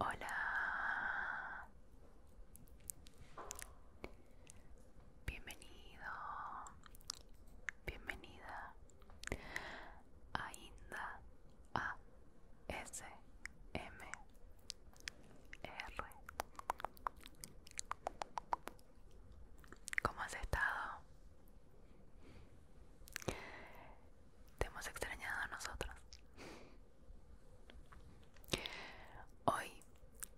Hola, bienvenido, bienvenida ainda Inda A S M R. ¿Cómo has estado? te hemos extrañado a nosotros. Hoy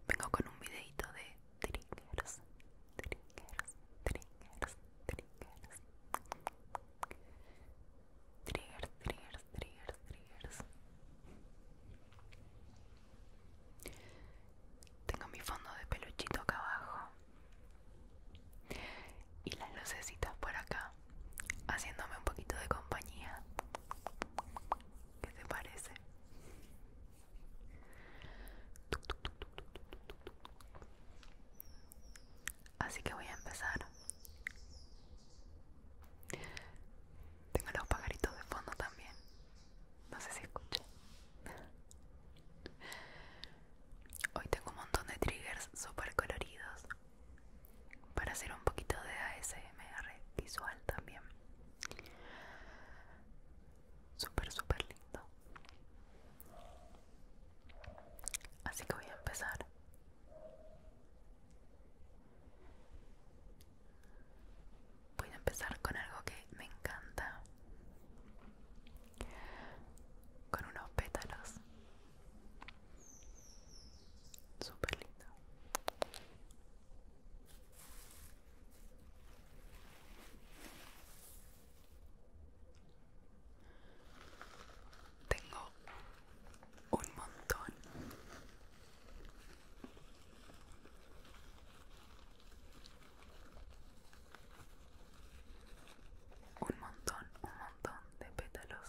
vengo con un videito de triggers, triggers, triggers, triggers. Triggers, triggers, triggers, triggers. Tengo mi fondo de peluchito acá abajo y las lucecitas por acá haciéndome un poquito de compañía ¿qué te parece? así que voy a empezar tengo los pajaritos de fondo también no sé si escuché Hoy tengo un montón de triggers super coloridos para hacer un poquito de ASMR visual también. súper super lindo. Así que voy a empezar. Voy a empezar con algo que me encanta con unos pétalos super lindo tengo un montón un montón, un montón de pétalos.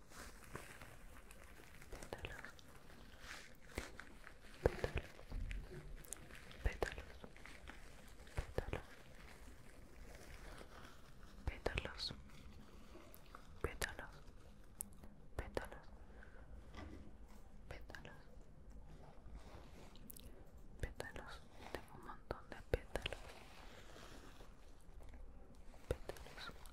pétalos, pétalos, pétalos, pétalos, pétalos, pétalos, pétalos, pétalos, tengo un montón de pétalos pétalos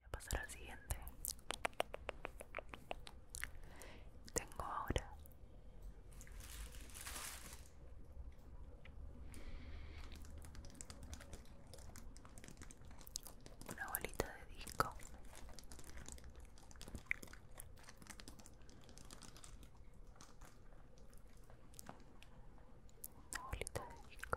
Voy a pasar al siguiente. Tengo ahora una bolita de disco. Una bolita de disco.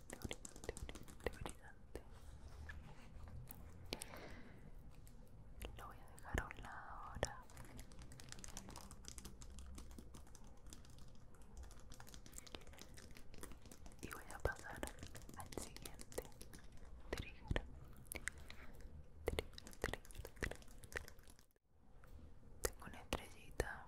brillante, Lo voy a dejar a un lado ahora. Y voy a pasar al siguiente trigger. Tengo una estrellita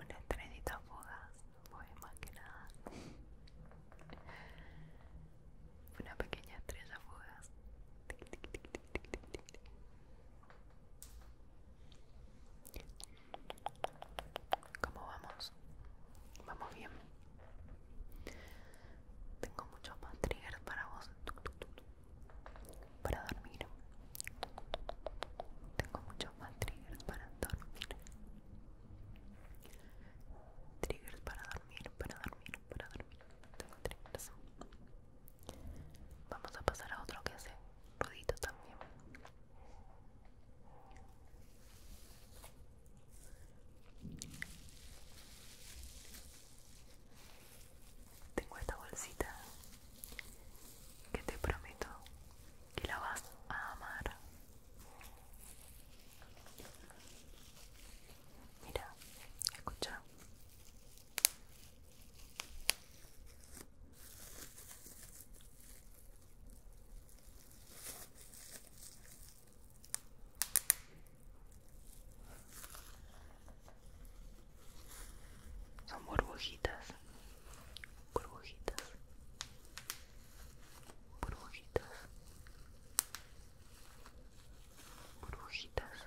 Un estrellito fugaz fue pues, más que nada una pequeña estrella fugaz. ¿Cómo vamos? Vamos bien. Tengo muchos más triggers para vos. Para dormir. Tengo muchos más triggers para dormir. Triggers para dormir, para dormir, para dormir. Tengo triggers. Vamos a pasar a otro que hace ruidito también. Tengo esta bolsita que te prometo que la vas a amar. Mira, escucha. Son burbujitas burbujitas burbujitas burbujitas brujitas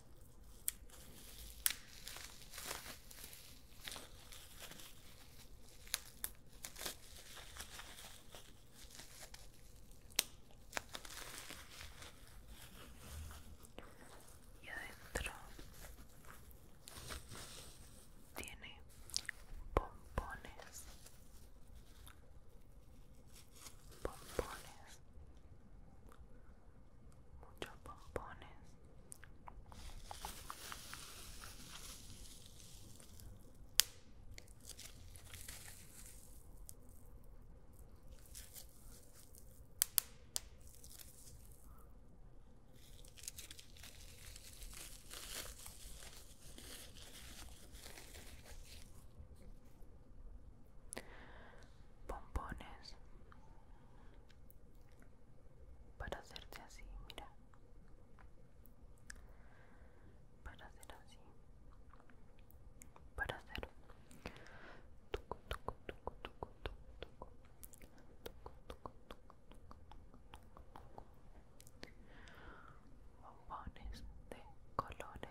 y adentro tiene pompones pompones muchos pompones pompones para hacerte así, mira, para hacer así, para hacer tucu, tucu, de colores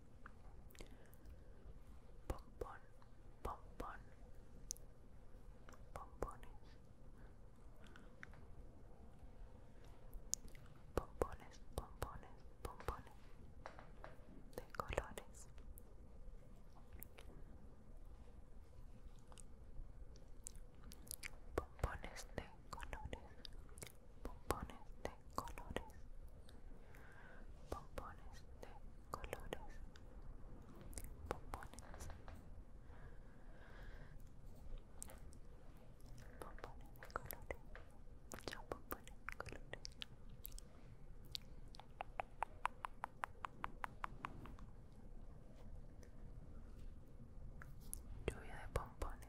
Pompón, pompón, pompones, pompones, pompones, pompones de colores. Pompones de colores pompones de colores, pompones de colores, pompones de colores, de colores. Lluvia de pompones.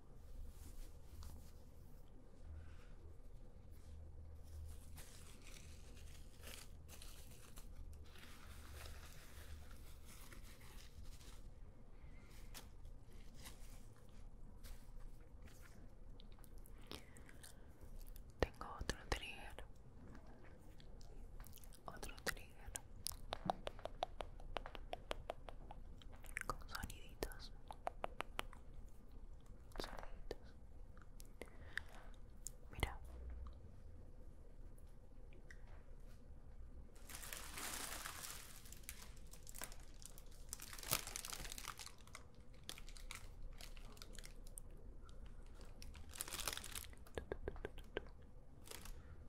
Tengo otro trigger, otro trigger, con soniditos soniditos mira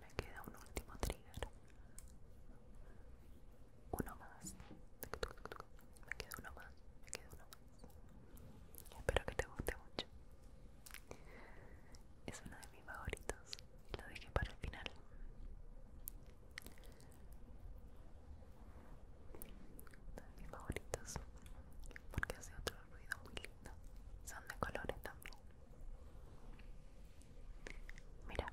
Me queda un último trigger. Uno más. Me queda uno más. uno Espero que te guste mucho. Es uno de mis favoritos. Lo dejé para el final. Son mis favoritos porque hace otro ruido muy lindo. Son de colores también. Mira.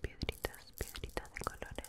piedritas, piedritas de colores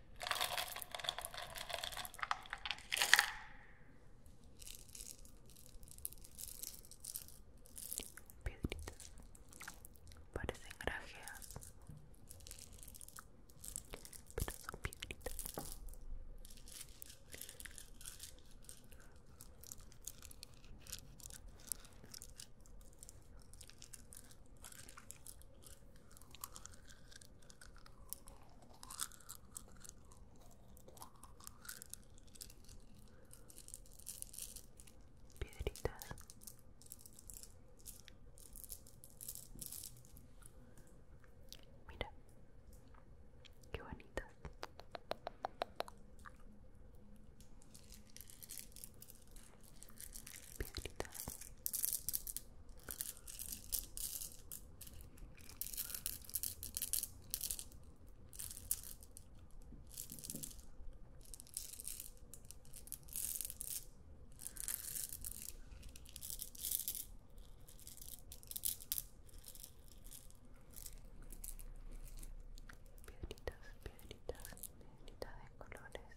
Piedritas parecen grajeas, pero son piedritas piedritas mira qué bonitas piedritas piedritas, piedritas, piedritas de colores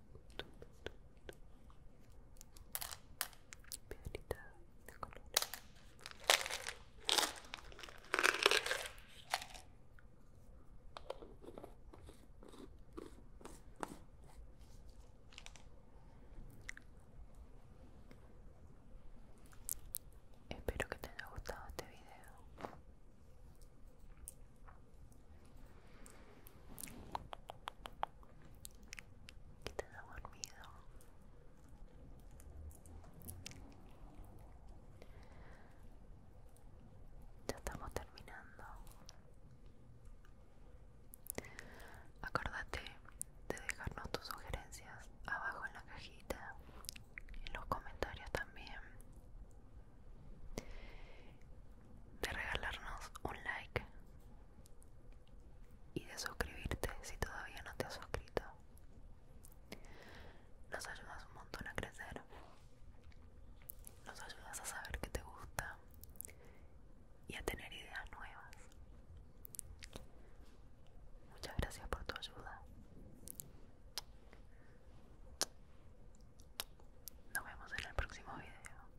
de color Espero que te haya gustado este video te da ya estamos terminando acuérdate de dejarnos tus sugerencias abajo en la cajita en los comentarios también de regalarnos un like y de suscribirte si todavía no te has suscrito. Nos ayudas un montón a crecer. Nos ayudas a saber que te gusta y a tener ideas nuevas. Muchas gracias por tu ayuda. Nos vemos en el próximo video.